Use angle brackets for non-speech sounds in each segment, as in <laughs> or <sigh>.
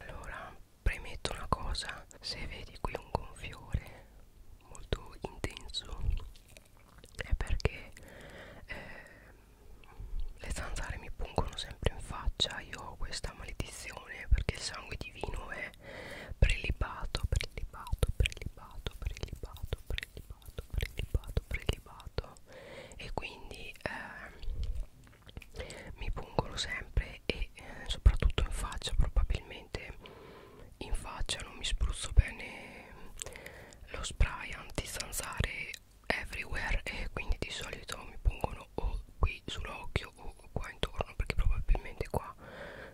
allora premetto una cosa se vedi qui un gonfiore molto intenso è perché eh, le zanzare mi pungono sempre in faccia io ho questa maledizione perché il sangue divino è prelibato prelibato prelibato prelibato prelibato prelibato prelibato e quindi eh, mi pungono sempre e eh, soprattutto in faccia probabilmente in faccia non mi spruzzo bene lo spray antistanzare everywhere e quindi di solito mi pungono o qui sull'occhio o qua intorno perché probabilmente qua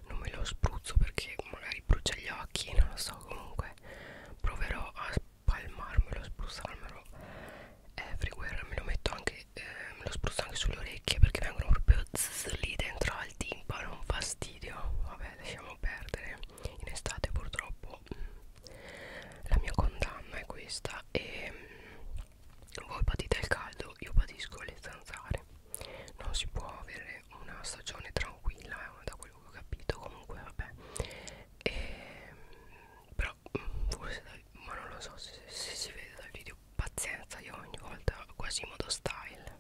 non me lo spruzzo perché magari brucia gli occhi non lo so comunque proverò a palmarmelo, spruzzarmelo everywhere eh, me lo metto anche eh, me lo spruzzo anche sulle orecchie perché vengono proprio zzz, lì dentro al timpano un fastidio vabbè lasciamo perdere in estate purtroppo mm, la mia condanna è questa e mm, voi patite il caldo io patisco le zanzare non si può avere una stagione tranquilla eh, da quello che ho capito comunque vabbè e, però forse dal, ma non lo so se, se si vede dal video pazienza io ogni volta quasi modo style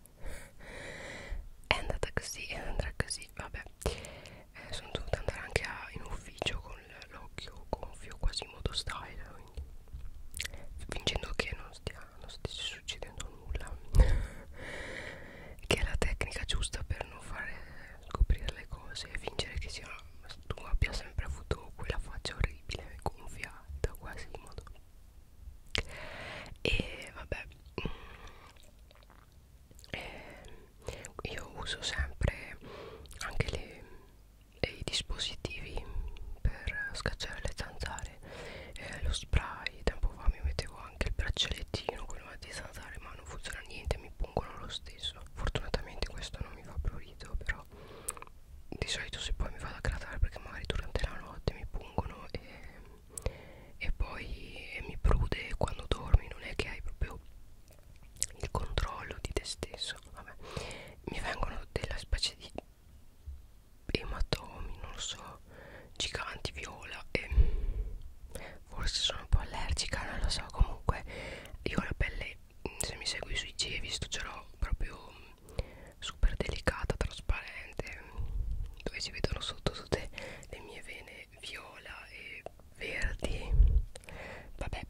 è andata così e andrà così vabbè eh, sono dovuta andare anche a, in ufficio con l'occhio gonfio quasi modo style quindi fingendo che non stia, non stia succedendo nulla <laughs> che è la tecnica giusta per non fare scoprire le cose e fingere che sia, tu abbia sempre avuto quella faccia orribile, gonfiata, quasi in modo. E vabbè, mm, e eh, io uso sempre anche le, i dispositivi per scacciare le zanzare, eh, lo spray. Tempo fa mi mettevo anche il braccialettino quello a zanzare ma non funziona niente mi pungono lo stesso fortunatamente questo non mi fa più rido però di solito se poi mi vado a grattare perché magari durante la notte mi pungono e, e poi mi prude quando dormi non è che hai proprio il controllo di te stesso Vabbè. mi vengono della specie di ematomi non lo so giganti viola e forse sono un po' allergica non lo so comunque io ho la pelle se mi segui sui G hai visto ce l'ho proprio mm, super delicata trasparente dove si vedono sotto tutte le mie vene viola e verdi vabbè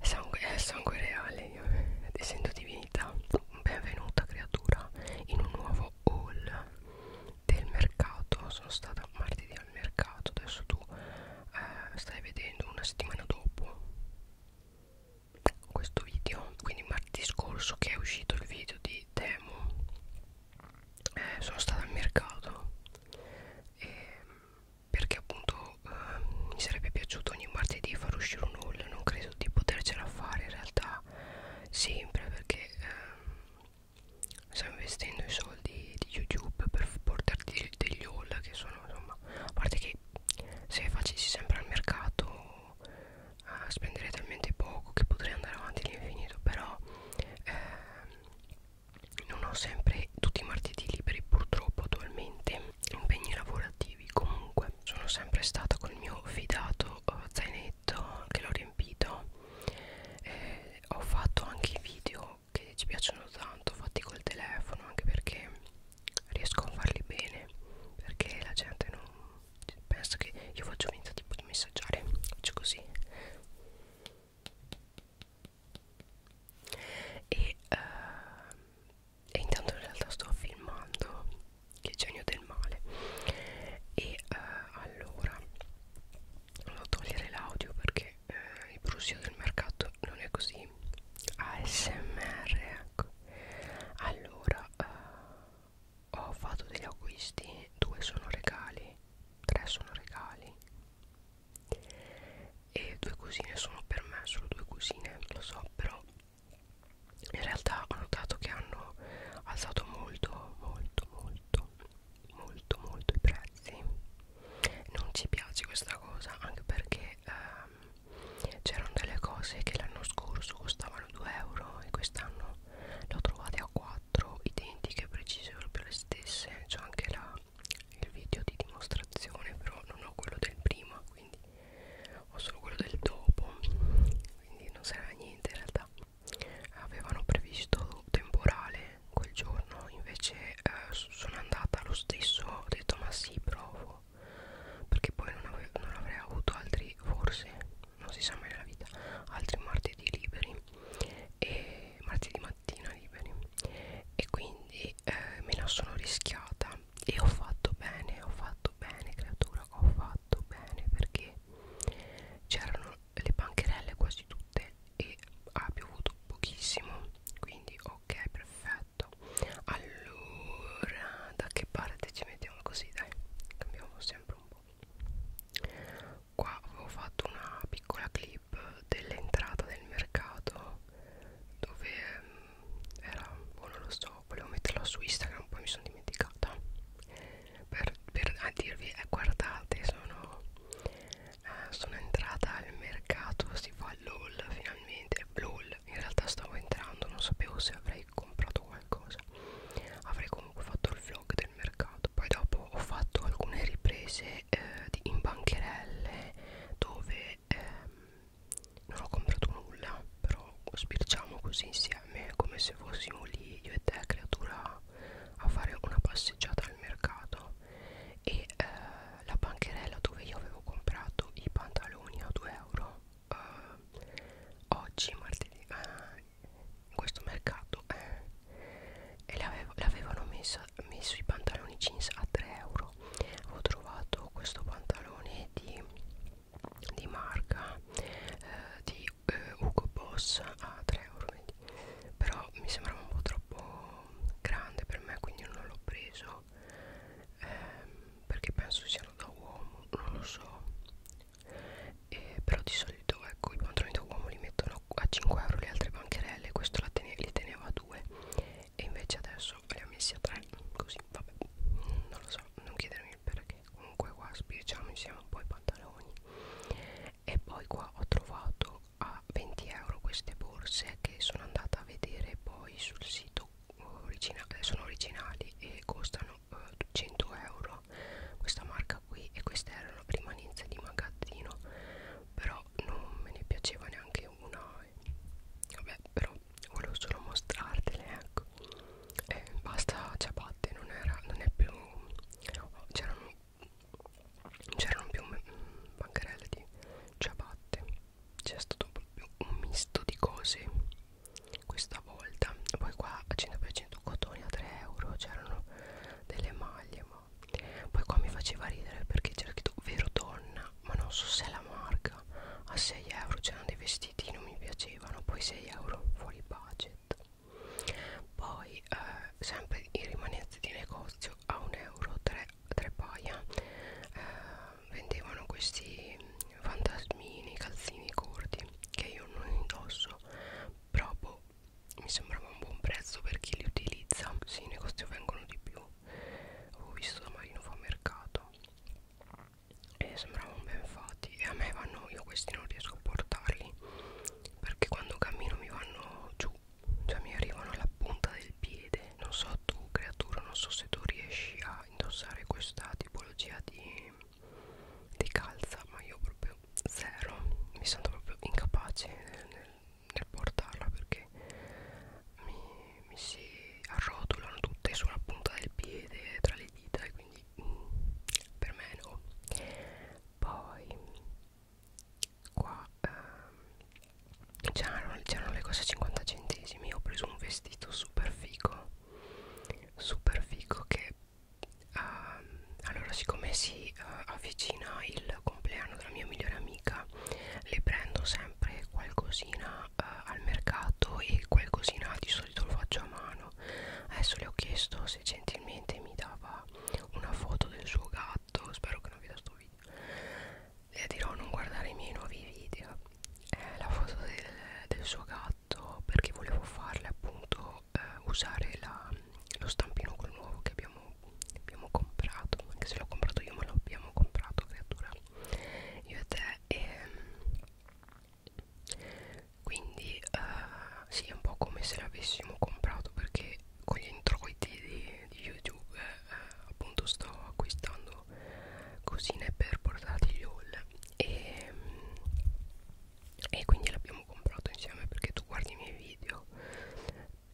sangue, è sangue reale io essendo divinità benvenuta creatura in un nuovo haul del mercato sono stata martedì al mercato adesso tu eh, stai vedendo una settimana dopo questo video quindi martedì scorso che è uscito il video di Temo eh, sono stata al mercato e ehm, perché appunto eh, mi sarebbe piaciuto ogni martedì far uscire un haul non credo di potercela fare in realtà sempre perché eh, Stiamo investendo i soldi di YouTube per portarti degli haul che sono insomma. A parte che se facessi sempre al mercato eh, spenderei talmente poco che potrei andare avanti all'infinito, però eh, non ho sempre tutti i martedì liberi purtroppo attualmente. Impegni lavorativi comunque. Sono sempre stata col mio fidato eh, zainetto che l'ho riempito. Eh, ho fatto anche video che ci piacciono tanto fatti col telefono anche perché riesco a farli bene perché la gente non pensa che io faccio finta tipo di messaggiare faccio così e, uh, e intanto in realtà sto filmando che genio del male e uh, allora a togliere l'audio perché eh, il brusio del mercato non è così ASMR ecco allora eh, ho fatto degli acquisti due sono regali tre sono regali e due cosine sono per me solo due cosine lo so però in realtà ho notato che hanno alzato molto molto molto molto molto i prezzi non ci piace questa cosa anche perché ehm, c'erano delle cose che l'anno scorso costavano 2 euro e quest'anno le ho trovate a 4 identiche precise proprio le stesse c'è anche la, il video di dimostrazione però non ho quello del prima quindi ho solo quello del dopo quindi non serve a niente in realtà avevano previsto temporale quel giorno invece eh, sono andata lo stesso ho detto ma sì provo perché poi non, ave non avrei avuto altri forse non si sa mai nella vita altri martedì liberi e martedì mattina liberi e quindi eh, me la sono rischiata e ho fatto bene ho fatto bene creatura ho fatto bene perché c'erano le bancherelle quasi tutte e ha piovuto pochissimo quindi ok perfetto allora da che parte ci mettiamo così dai cambiamo sempre un po' qua avevo fatto una piccola clip dell'entrata del mercato dove mm, era boh, non lo so volevo metterla su Instagram poi mi sono dimenticata per, per a dirvi eh, guardate sono eh, sono entrata al mercato si fa LOL finalmente LOL in realtà stavo entrando non sapevo se avrei comprato qualcosa avrei comunque fatto il vlog del mercato poi dopo ho fatto alcune riprese eh, di, in bancherelle dove ehm, non ho comprato nulla però sbirciamo così insieme come se fossimo lì io e te creatura a fare una passeggiata al mercato e eh, la bancherella dove io avevo comprato i pantaloni a 2 euro eh, oggi martedì eh, in questo mercato eh, e l'avevano messo i pantaloni jeans a 3 euro ho trovato questo pantalone di, di marca eh, di eh, Ugo Boss a 3 euro però mi sembrava un po' troppo grande per me quindi non l'ho preso ehm, perché penso siano da uomo non lo so eh, però di solito ecco i pantaloni da uomo li mettono a 5 euro le altre bancherelle questo tene, li teneva a 2 e invece adesso li ha messi a 3 così vabbè non lo so non chiedermi il perché comunque qua spieghiamo insieme un po' i pantaloni e poi qua ho trovato a 20 euro queste borse che sono andata a vedere poi sul sito originale eh, sono originali e costano eh, 100 euro questa marca qui e queste erano rimanenze di magazzino però non me ne piaceva neanche una eh. vabbè però volevo solo mostrartele ecco eh, basta ciabatte non era non è più c'erano c'erano più bancarelle di ciabatte c'è stato proprio un misto di cose questa volta poi qua a 100% cotone a 3 euro c'erano delle maglie ma poi qua mi faceva ridere perché c'era scritto vero donna ma non so se è la marca a 6 euro c'erano dei vestiti non mi piacevano poi 6 euro fuori pace macchinetta poi eh, sempre i rimanenze di negozio a 1 euro 3, 3 paia eh, vendevano questi fantasmini calzini corti che io non indosso proprio mi sembrava un buon prezzo per chi li utilizza sì i negozi vengono di più avevo visto da Marino fa mercato e sembravano ben fatti e a me vanno io questi non riesco a portarli perché quando cammino mi vanno giù cioè mi arrivano alla punta del piede non so tu creatura non so se tu riesci a indossare questa tipologia di, di calza ma io proprio zero mi sento proprio incapace nel, nel, nel portarla perché mi, mi si arrotolano tutte sulla punta del piede tra le dita e quindi mm, per me no poi qua ehm, c'erano le cose a 50 centesimi ho preso un vestito super fico super fico che ehm, allora siccome si eh, avvicina il compleanno della mia migliore amica le prendo sempre qualcosina eh, al mercato e qualcosina di solito lo faccio a mano adesso le ho chiesto se gentilmente mi dava una foto del suo gatto spero che non veda sto video le dirò non guardare i miei nuovi video eh, la foto del, del suo gatto perché volevo farle appunto eh, usare la, lo stampino col nuovo che abbiamo, abbiamo comprato anche se l'ho comprato io ma l'abbiamo comprato creatura io e te e ehm, quindi eh, sì è un po' come se l'avessimo comprato perché con gli introiti di, di youtube eh, appunto sto acquistando cosine per portarti haul e, e quindi l'abbiamo comprato insieme perché tu guardi i miei video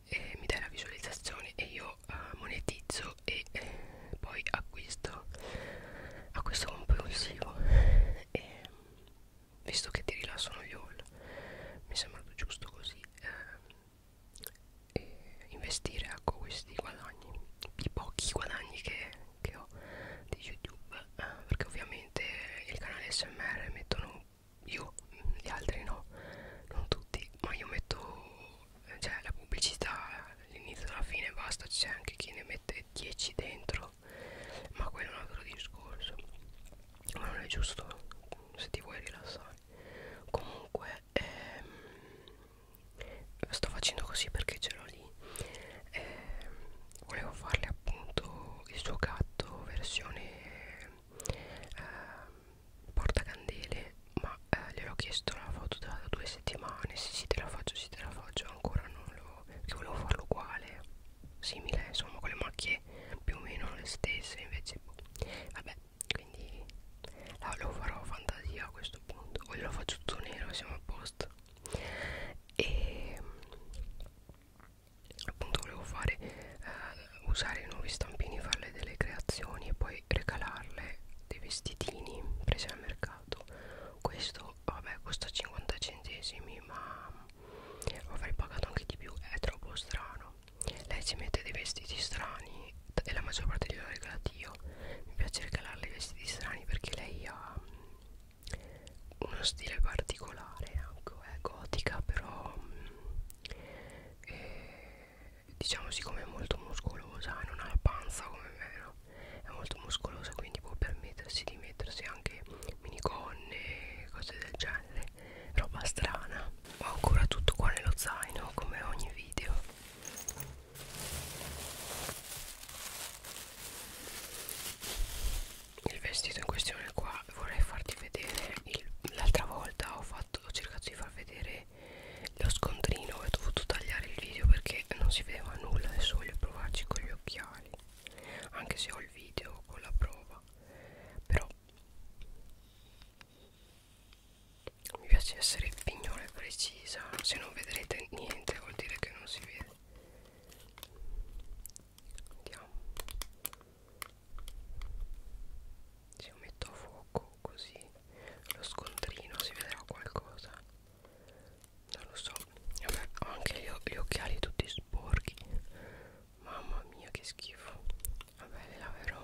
e mi dai la visualizzazione e io eh, monetizzo e eh, poi acquisto acquisto compulsivo e visto che ti rilassano gli all mi è sembrato giusto così eh, investire ecco questi guadagni i pochi guadagni che, che ho di youtube eh, perché ovviamente il canale smr mettono io gli altri no non tutti ma io metto cioè la pubblicità all'inizio alla fine basta c'è anche chi ne mette 10 dentro so ma quello è un altro discorso ma non è giusto se ti vuoi rilassare comunque ehm, sto facendo così perché ce l'ho lì ehm, volevo farle appunto il suo gatto versione ehm, portacandele ma eh, gliel'ho chiesto la foto da, da due settimane sì sì te la faccio sì te la faccio ancora non lo perché volevo farlo uguale simile insomma con le macchie tutte più o meno le stesse invece boh. vabbè quindi la, lo farò fantasia a questo punto o lo faccio tutto nero siamo a posto e ehm, appunto volevo fare eh, usare i nuovi stampini farle delle creazioni e poi regalarle dei vestitini presi al mercato questo vabbè costa 50 centesimi ma avrei pagato anche di più è troppo strano lei si mette dei vestiti strani e la maggior parte gliel'ho regalati io mi piace regalarle i vestiti strani perché lei ha mm, uno stile particolare anche ecco, è gotica però mm, è, diciamo siccome è molto muscolosa e non ha la panza come me no? è molto muscolosa quindi può permettersi di mettersi anche minigonne cose del genere roba strana ho ancora tutto qua nello zaino come ogni video il vestito in questione qua vorrei farti vedere l'altra volta ho, fatto, ho cercato di far vedere lo scontrino e ho dovuto tagliare il video perché non si vedeva nulla adesso voglio provarci con gli occhiali anche se ho il video con la prova però mi piace essere pignole precisa se non vedrete niente vuol dire che non si vede andiamo se lo metto a fuoco così lo scontrino si vedrà qualcosa non lo so Vabbè, ho anche gli, gli occhiali tutti sporchi Mamma mia che schifo Vabbè le laverò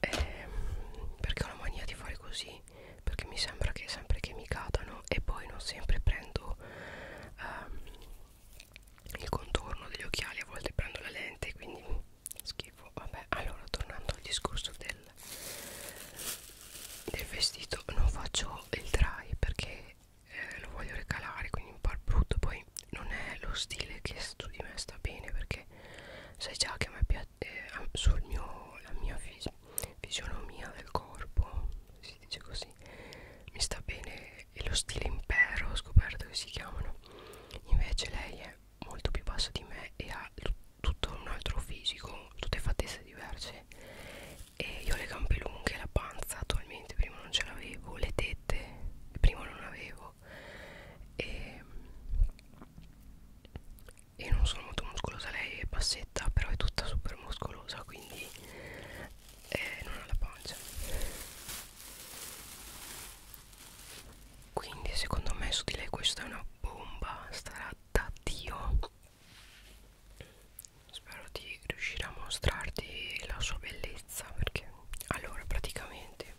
ehm, Perché ho la mania di fare così Perché mi sembra che sempre che mi cadano E poi non sempre prendo ehm, Il contorno degli occhiali A volte prendo la lente Quindi schifo Vabbè allora tornando al discorso del Del vestito Non faccio il dry perché eh, lo voglio regalare quindi un par brutto poi non è lo stile che su di me sta bene perché sai già che a me piace eh, sul mio la mia vis fisionomia del corpo si dice così mi sta bene e lo stile impero ho scoperto che si chiamano invece lei è molto più bassa di me e ha tutto un altro fisico tutte fattezze diverse e io ho le gambe lunghe, la panza attualmente prima non ce l'avevo, le tette prima non avevo e, e non sono molto muscolosa, lei è bassetta però è tutta super muscolosa quindi eh, non ha la pancia quindi secondo me su di lei questa è una bomba, starà da Dio spero di riuscire a mostrarti la sua bellezza perché allora praticamente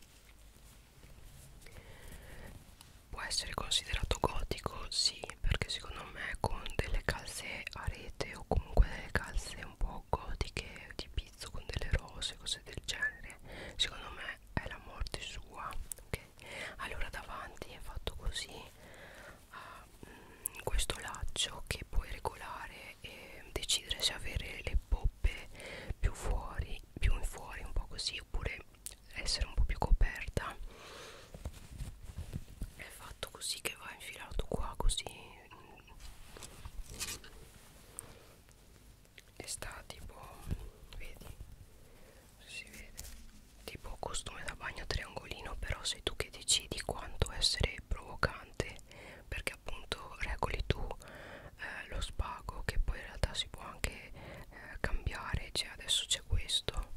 può essere considerato gotico sì perché secondo me con delle calze a rete o comunque delle calze un po' gotiche di pizzo con delle rose cose del genere secondo me è la morte sua ok allora davanti è fatto così a mm, mh, questo laccio che puoi regolare e decidere se avere le poppe più fuori più in fuori un po' così oppure essere un po' più coperta è fatto così che va infilato qua così mm. e sta tipo vedi si vede tipo costume da bagno triangolino però sei tu che decidi quanto essere provocante perché appunto regoli tu eh, lo spago che poi in realtà si può anche eh, cambiare cioè adesso c'è questo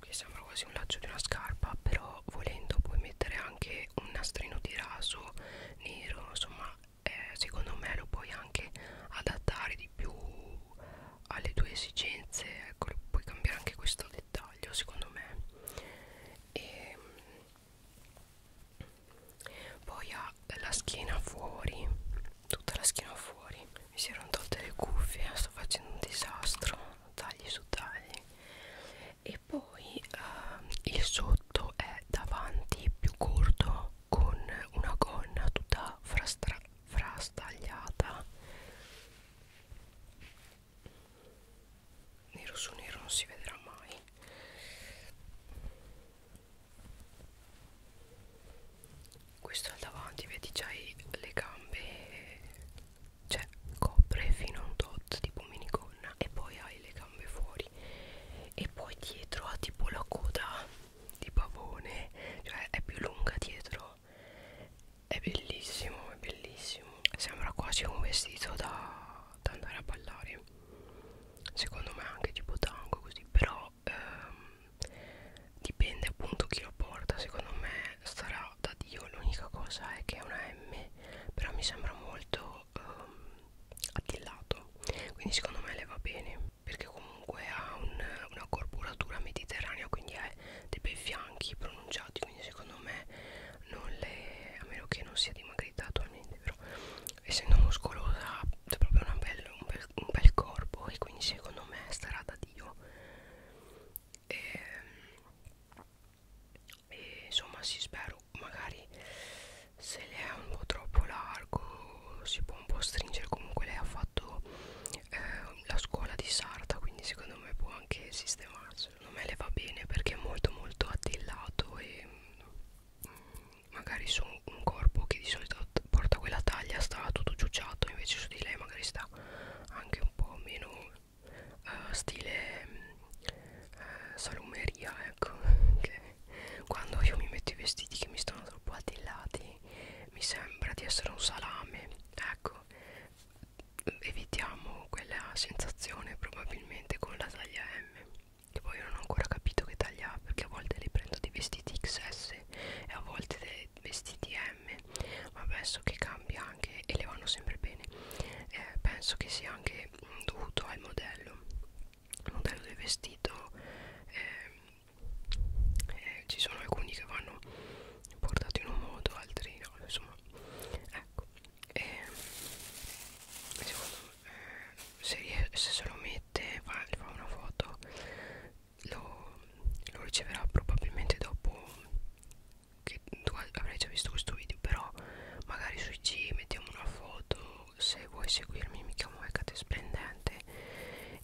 che sembra quasi un laccio di una scarpa però volendo puoi mettere anche un nastrino di raso nero insomma eh, secondo me lo puoi anche adattare di più alle tue esigenze ecco puoi cambiare anche questo dettaglio secondo me e mm, poi ha la schiena fuori tutta la schiena fuori mi si erano tolte le cuffie sto facendo un disastro tagli su tagli e poi uh, il sotto è davanti più corto con una gonna tutta frastagliata nero su nero non si vedrà mai questo al davanti vedi già i, le gambe cioè copre fino a un tot tipo minigonna e poi hai le gambe fuori e poi dietro ha tipo la coda di pavone cioè è più lunga dietro è bellissimo è bellissimo sembra quasi un vestito da, da andare a ballare secondo me anche tipo tango così però ehm, dipende appunto chi lo porta secondo me sarà da dio l'unica cosa è che è una M però mi sembra molto ehm, attillato quindi secondo me le va bene perché comunque ha un, una corporatura mediterranea quindi ha dei bei fianchi pronunciati quindi secondo me non le a meno che non sia dimagrita attualmente però essendo muscolosa c'è proprio una bel, un, bel, un bel corpo e quindi secondo me starà da dio e, ehm, e insomma si sì, spero magari se le è un po' troppo largo si può un po' stringere comunque lei ha fatto eh, la scuola di sarta quindi secondo me può anche sistemarsi secondo me le va bene perché è molto molto attillato e mm, magari su un corpo che di solito porta quella taglia sta tutto ciucciato invece su di lei magari sta anche un po' meno uh, stile uh, salumeria ecco <laughs> che quando io mi metto i vestiti che mi stanno troppo attillati mi sembra di essere un salame ecco evitiamo quella sensazione probabilmente con la taglia M che poi non ho ancora capito che taglia perché a volte li prendo dei vestiti XS e a volte dei vestiti M ma penso che cambia anche e le vanno sempre bene eh, penso che sia anche mm, dovuto al modello il modello del vestito eh, eh, ci sono alcuni che vanno portati in un modo altri no insomma ecco e secondo me se, se se lo mette fa, fa una foto lo, lo riceverà probabilmente dopo che tu avrai già visto questo video però magari su IG mettiamo una foto se vuoi seguirmi mi chiamo Hecate Splendente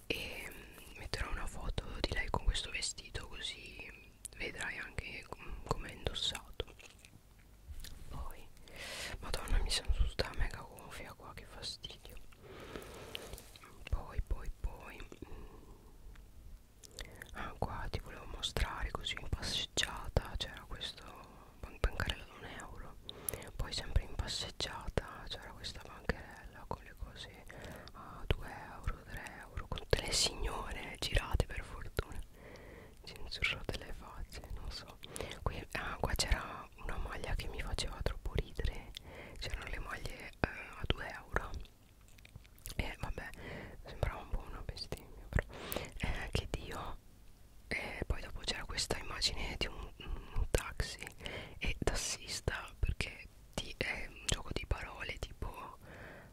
e metterò una foto di lei con questo vestito così vedrai anche come è indossato poi madonna mi sento tutta mega gonfia qua che fastidio poi poi poi mm. ah qua ti volevo mostrare così in passeggiata c'era questo bancarella da un euro poi sempre in passeggiata c'era questa bancherella con le cose a 2 euro 3 euro con tutte le signore girate per fortuna censurate le facce non so qui, ah, qua c'era una maglia che mi faceva troppo ridere c'erano le maglie eh, a 2 euro e vabbè sembrava un po' una bestemmia però eh, che dio e poi dopo c'era questa immagine di un, un taxi e tassista perché ti, è un gioco di parole tipo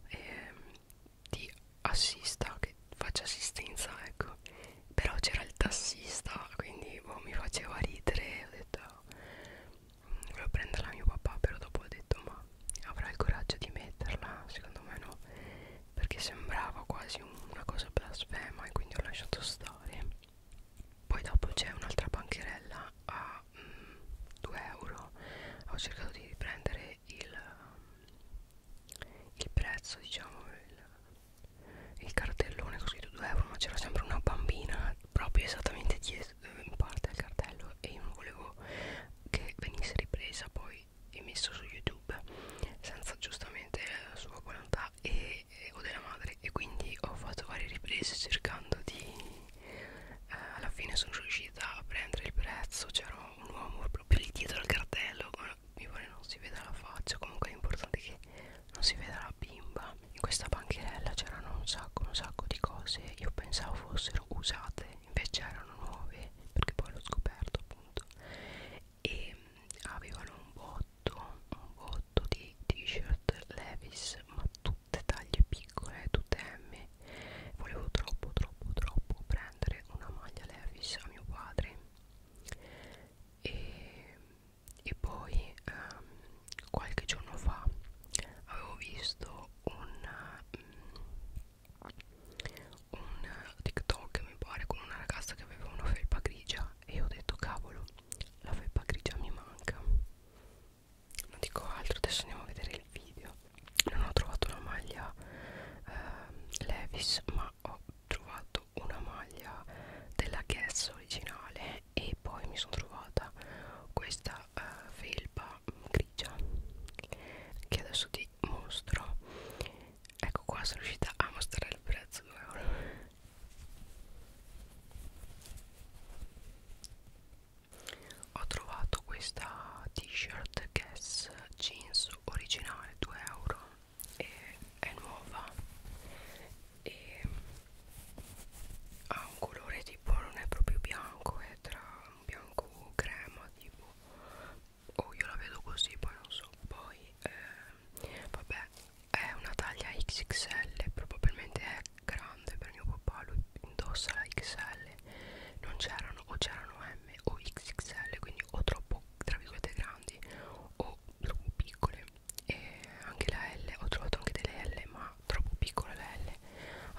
ehm, ti assista, che faccia assistenza, ecco. Però c'era il tassista, quindi boh, mi faceva ridere, ho detto volevo mm, prenderla a mio papà, però dopo ho detto ma avrà il coraggio di metterla? Secondo me no, perché sembrava quasi una cosa blasfema e quindi ho lasciato stare. Poi dopo c'è un'altra bancherella a mm, 2 euro, ho cercato di riprendere il il prezzo diciamo il, il cartellone con scritto 2 euro ma c'era sempre una bambina proprio esattamente dietro in parte al cartello e io non volevo che venisse ripresa poi e messo su youtube senza giustamente la sua volontà e, e, o della madre e quindi ho fatto varie riprese cercando di eh, alla fine sono riuscita a prendere il prezzo c'erano un uomo proprio lì dietro al cartello mi pare non si veda la faccia comunque l'importante è che non si veda la bimba in questa bancherella c'erano un sacco un sacco di cose io pensavo fossero usate invece erano nuove perché poi l'ho scoperto appunto e mm, avevano un botto un botto di t-shirt Levis ma tutte taglie piccole tutte M volevo troppo troppo troppo prendere una maglia Levis a mio padre e, e poi um, qualche giorno fa avevo visto un, um, un TikTok mi pare con una ragazza che aveva una felpa grigia e ho detto cavolo la felpa grigia mi manca non dico altro adesso andiamo a vedere il video non ho trovato una maglia eh, Levis ma ho trovato una maglia della Guess originale e poi mi sono trovata questa eh, felpa grigia che adesso ti mostro ecco qua sono riuscita a mostrare il prezzo 2 euro ho trovato questa t-shirt Guess jeans originale 2 euro e è nuova e ha un colore tipo non è proprio bianco è tra un bianco crema tipo o oh, io la vedo così poi non so poi eh, vabbè è una taglia XXL probabilmente è grande per mio papà lui indossa la XL non c'erano o c'erano eh, M o XXL quindi o troppo tra virgolette grandi o troppo piccole e anche la L ho trovato anche delle L ma troppo piccola la L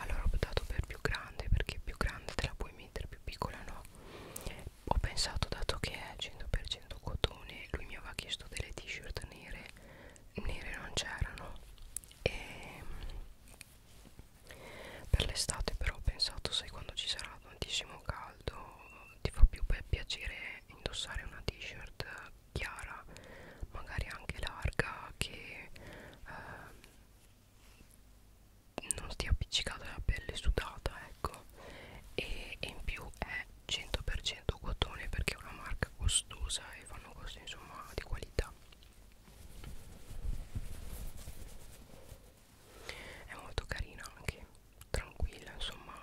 allora ho optato per più grande perché più grande te la puoi mettere più piccola no ho pensato dato che è 100% cotone lui mi aveva chiesto delle t-shirt nere nere non c'erano e ehm, per l'estate però ho pensato sai quando ci sarà tantissimo caldo ti fa più piacere indossare una t-shirt chiara magari anche larga che eh, non stia appiccicata la pelle sudata ecco e, e in più è 100% cotone perché è una marca costosa e fanno cose insomma di qualità è molto carina anche tranquilla insomma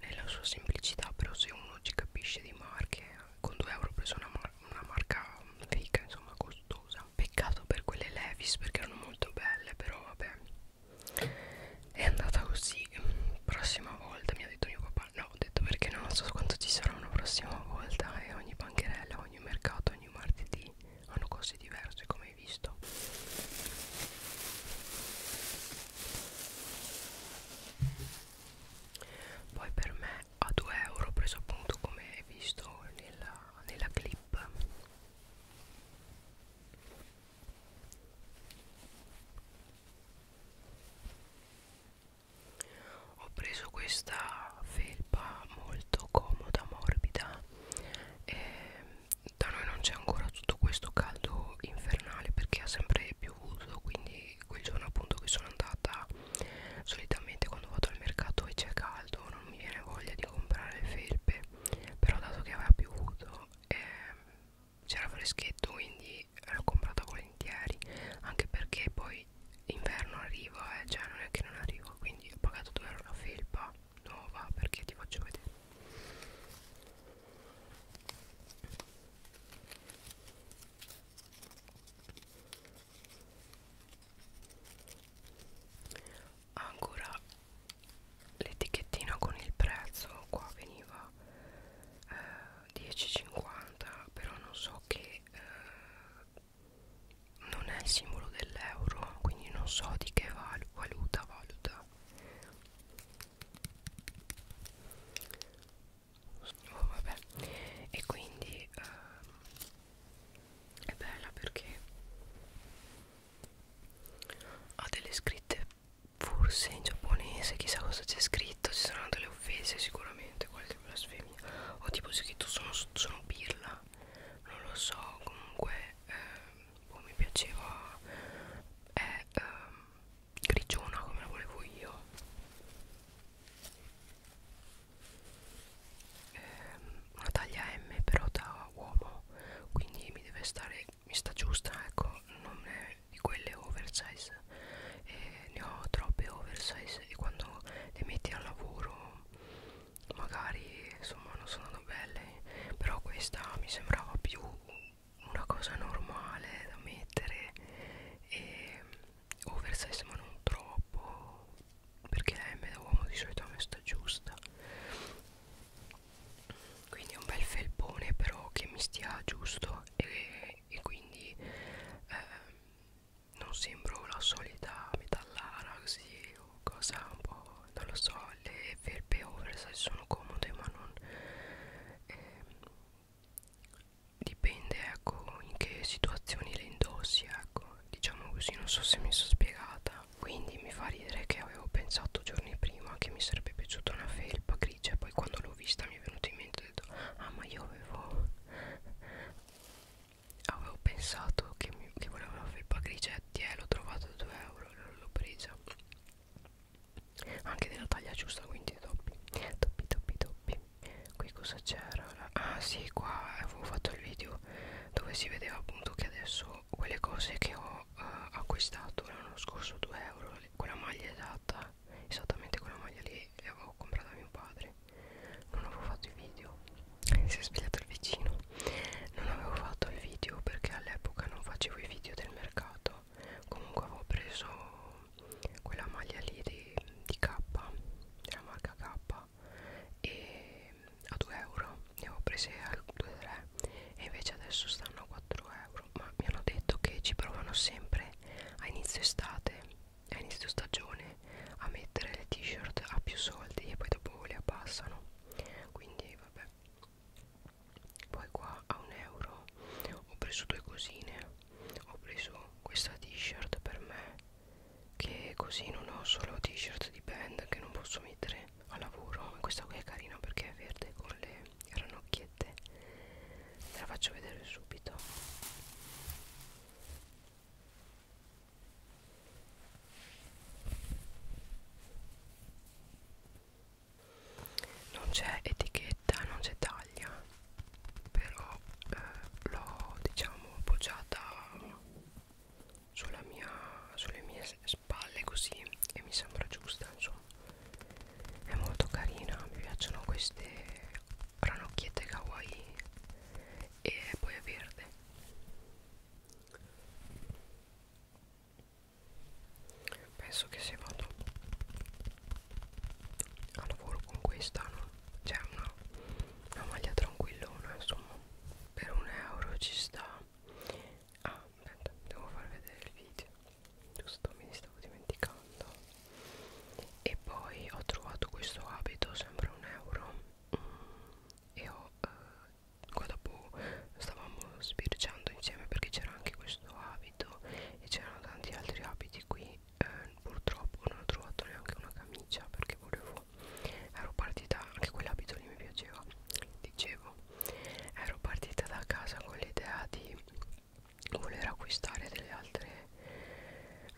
nella sua semplicità però se uno ci capisce di marche con 2 euro ho preso una, mar una marca figa insomma costosa peccato per quelle Levis perché erano molto belle però vabbè è andata così prossima volta mi ha detto mio papà no ho detto perché non so quanto ci sarà una prossima volta e eh, ogni bancherella ogni mercato ogni martedì tutti hanno cose diverse come hai visto poi per me a 2 euro preso appunto come hai visto nella, nella clip ho preso questa felpa molto comoda, morbida e da noi non c'è ancora tutto questo caldo infernale perché ha sempre piovuto quindi quel giorno appunto che sono andata solitamente quando vado al mercato e c'è caldo non mi viene voglia di comprare felpe però dato che aveva piovuto ehm, c'era freschetto quindi l'ho comprata volentieri anche perché poi inverno arriva eh, cioè non è che non arriva quindi ho pagato 2 euro una felpa nuova perché ti faccio vedere ancora l'etichettina con il prezzo qua veniva eh, 10,50 però non so che eh, non è il simbolo dell'euro quindi non so di che val valuta valuta oh, vabbè e quindi eh, è bella perché ha delle scritte forse in giapponese chissà cosa c'è scritto ci saranno delle offese sicuramente qualche blasfemia o tipo scritto sono, sono pirla ma non lo so comunque eh, oh, mi piaceva è eh, grigiona come la volevo io eh, una taglia M però da uomo quindi mi deve stare mi sta giusta ecco non è di quelle oversize eh, ne ho troppe oversize e quando le metti al lavoro magari insomma non sono belle però questa mi sembrava più una cosa normale da mettere e oversize oh, ma non troppo perché la M da uomo di solito a me sta giusta quindi è un bel felpone però che mi stia giusto e, e quindi eh, non sembro la solita metallara così o cosa un po' non lo so le felpe oversize sono comode ma non eh, dipende ecco in che situazioni le indossi ecco diciamo così non so se mi sono spiegata quindi mi fa ridere che avevo pensato giorni prima che mi sarebbe piaciuta una felpa grigia e poi quando l'ho vista mi è venuto in mente ho detto ah ma io avevo avevo pensato che, mi, che volevo la felpa grigetti e eh, l'ho trovato a 2 euro l'ho presa anche della taglia giusta quindi doppi doppi doppi doppi qui cosa c'era ah sì qua avevo fatto il video dove si vedeva appunto che adesso quelle cose che ho eh, acquistato l'anno scorso 2 euro quella maglia esatta esattamente quella maglia lì l'avevo comprata a mio padre non avevo fatto i video si è svegliato il vicino non avevo fatto i video perché all'epoca non facevo i video del mercato comunque avevo preso quella maglia lì di, di K della marca K e a 2 euro ne avevo prese a 2-3 e invece adesso stanno a 4 euro ma mi hanno detto che ci provano sempre a inizio estate a inizio stagione a mettere le t-shirt a più soldi e poi dopo le abbassano quindi vabbè poi qua a un euro ho preso due cosine ho preso questa t-shirt per me che così non ho solo t-shirt di band che non posso mettere a lavoro questa qui è carina perché è verde con le ranocchiette ve la faccio vedere subito non c'è etichetta non c'è taglia però eh, l'ho diciamo appoggiata sulla mia, sulle mie spalle così e mi sembra giusta insomma è molto carina mi piacciono queste ranocchiette kawaii e poi è verde penso che se vado a lavoro con questa no? c'è cioè, una, una maglia tranquillona insomma per un euro ci sta ah aspetta devo far vedere il video giusto mi stavo dimenticando e poi ho trovato questo abito sempre un euro e ho eh, qua dopo stavamo sbirciando insieme perché c'era anche questo abito e c'erano tanti altri abiti qui eh, purtroppo non ho trovato neanche una camicia perché volevo ero partita anche quell'abito lì mi piaceva dicevo ero partita da casa con l'idea di voler acquistare delle altre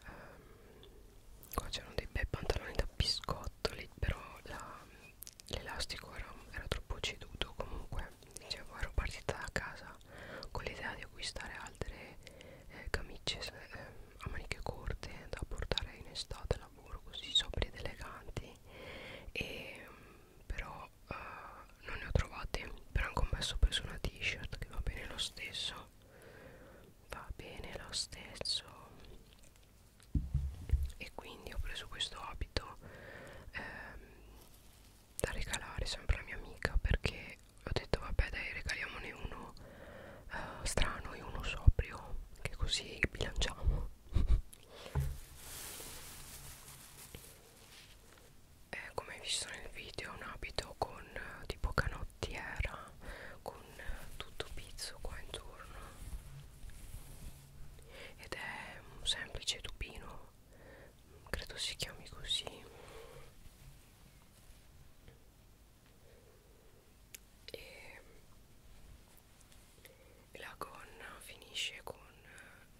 ehm, qua c'erano dei bei pantaloni da biscottoli però l'elastico era, era troppo ceduto comunque dicevo ero partita da casa con l'idea di acquistare altre eh, camicie eh, a maniche corte da portare in estate al lavoro così sobri ed eleganti e però eh, non ne ho trovate però anche ho messo preso una t-shirt che va bene lo stesso va bene lo stesso e quindi ho preso questo abito ehm, da regalare sempre alla mia amica perché ho detto vabbè dai regaliamone uno eh, strano e uno sobrio che così bilanciamo <laughs> eh, come hai visto nel video è un abito con eh, tipo canotto carottiera con tutto pizzo qua intorno ed è un semplice tubino credo si chiami così e la gonna finisce con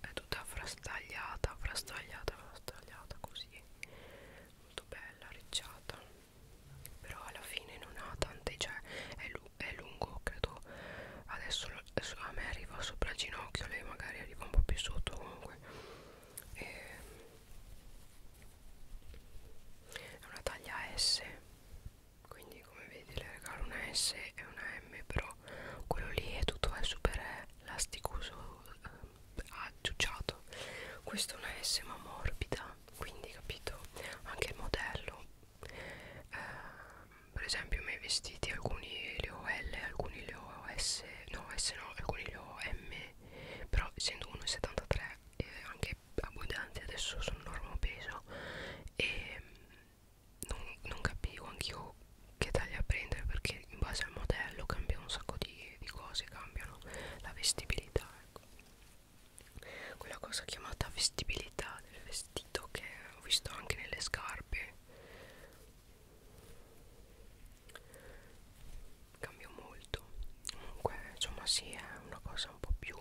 è tutta frastagliata frastagliata frastagliata così molto bella arricciata però alla fine non ha tante cioè è, lu è lungo credo adesso a me arriva sopra il ginocchio lei magari arriva un po' più sotto comunque e è una taglia S quindi come vedi le regalo una S e una M però quello lì è tutto è super elasticoso eh, aggiucciato questo è una S ma morbida quindi capito anche il modello eh, per esempio i miei vestiti alcuni li ho L alcuni li ho S no S no alcuni li ho M però essendo 1,73 eh, anche abbondanti adesso sono normo peso e mm, non, non capivo anch'io che taglia prendere perché in base al modello cambia un sacco di, di cose cambiano la vestibilità ecco quella cosa chiamata vestibilità del vestito che ho visto anche nelle scarpe cambia molto comunque insomma sì è una cosa un po' più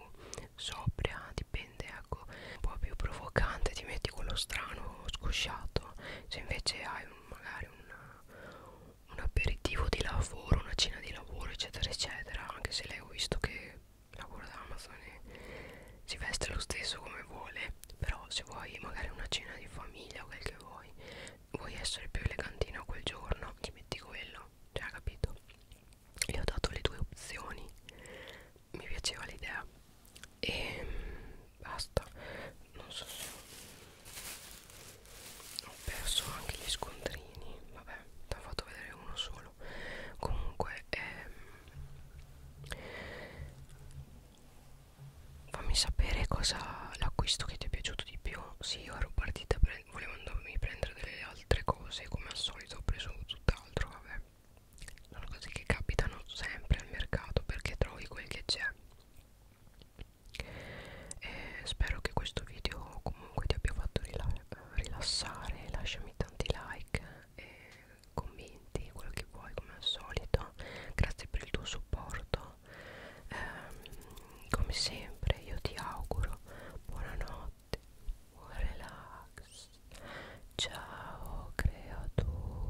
sobria dipende ecco un po' più provocante ti metti quello strano scosciato se invece hai un, magari una, un aperitivo di lavoro, una cena di lavoro, eccetera, eccetera. Anche se lei ho visto che lavora da Amazon e si veste lo stesso come vuole. Però se vuoi magari una cena di famiglia o quel che vuoi, vuoi essere più elegantina quel giorno, ti metti quello. Cioè, capito? Le ho dato le due opzioni. Mi piaceva l'idea. E ehm, basta. Non so se ho perso anche gli scontrini vabbè ti ho fatto vedere uno solo comunque ehm, fammi sapere cosa l'acquisto che ti è piaciuto di più sì ero partita pre volevo andarmi a prendere delle altre cose come al solito ho preso tutt'altro vabbè sono cose che capitano sempre al mercato perché trovi quel che c'è e spero che questo video comunque ti abbia fatto rila rilassare lasciami tanti like e commenti quello che vuoi come al solito grazie per il tuo supporto ehm, come sempre io ti auguro buonanotte buon relax ciao creatura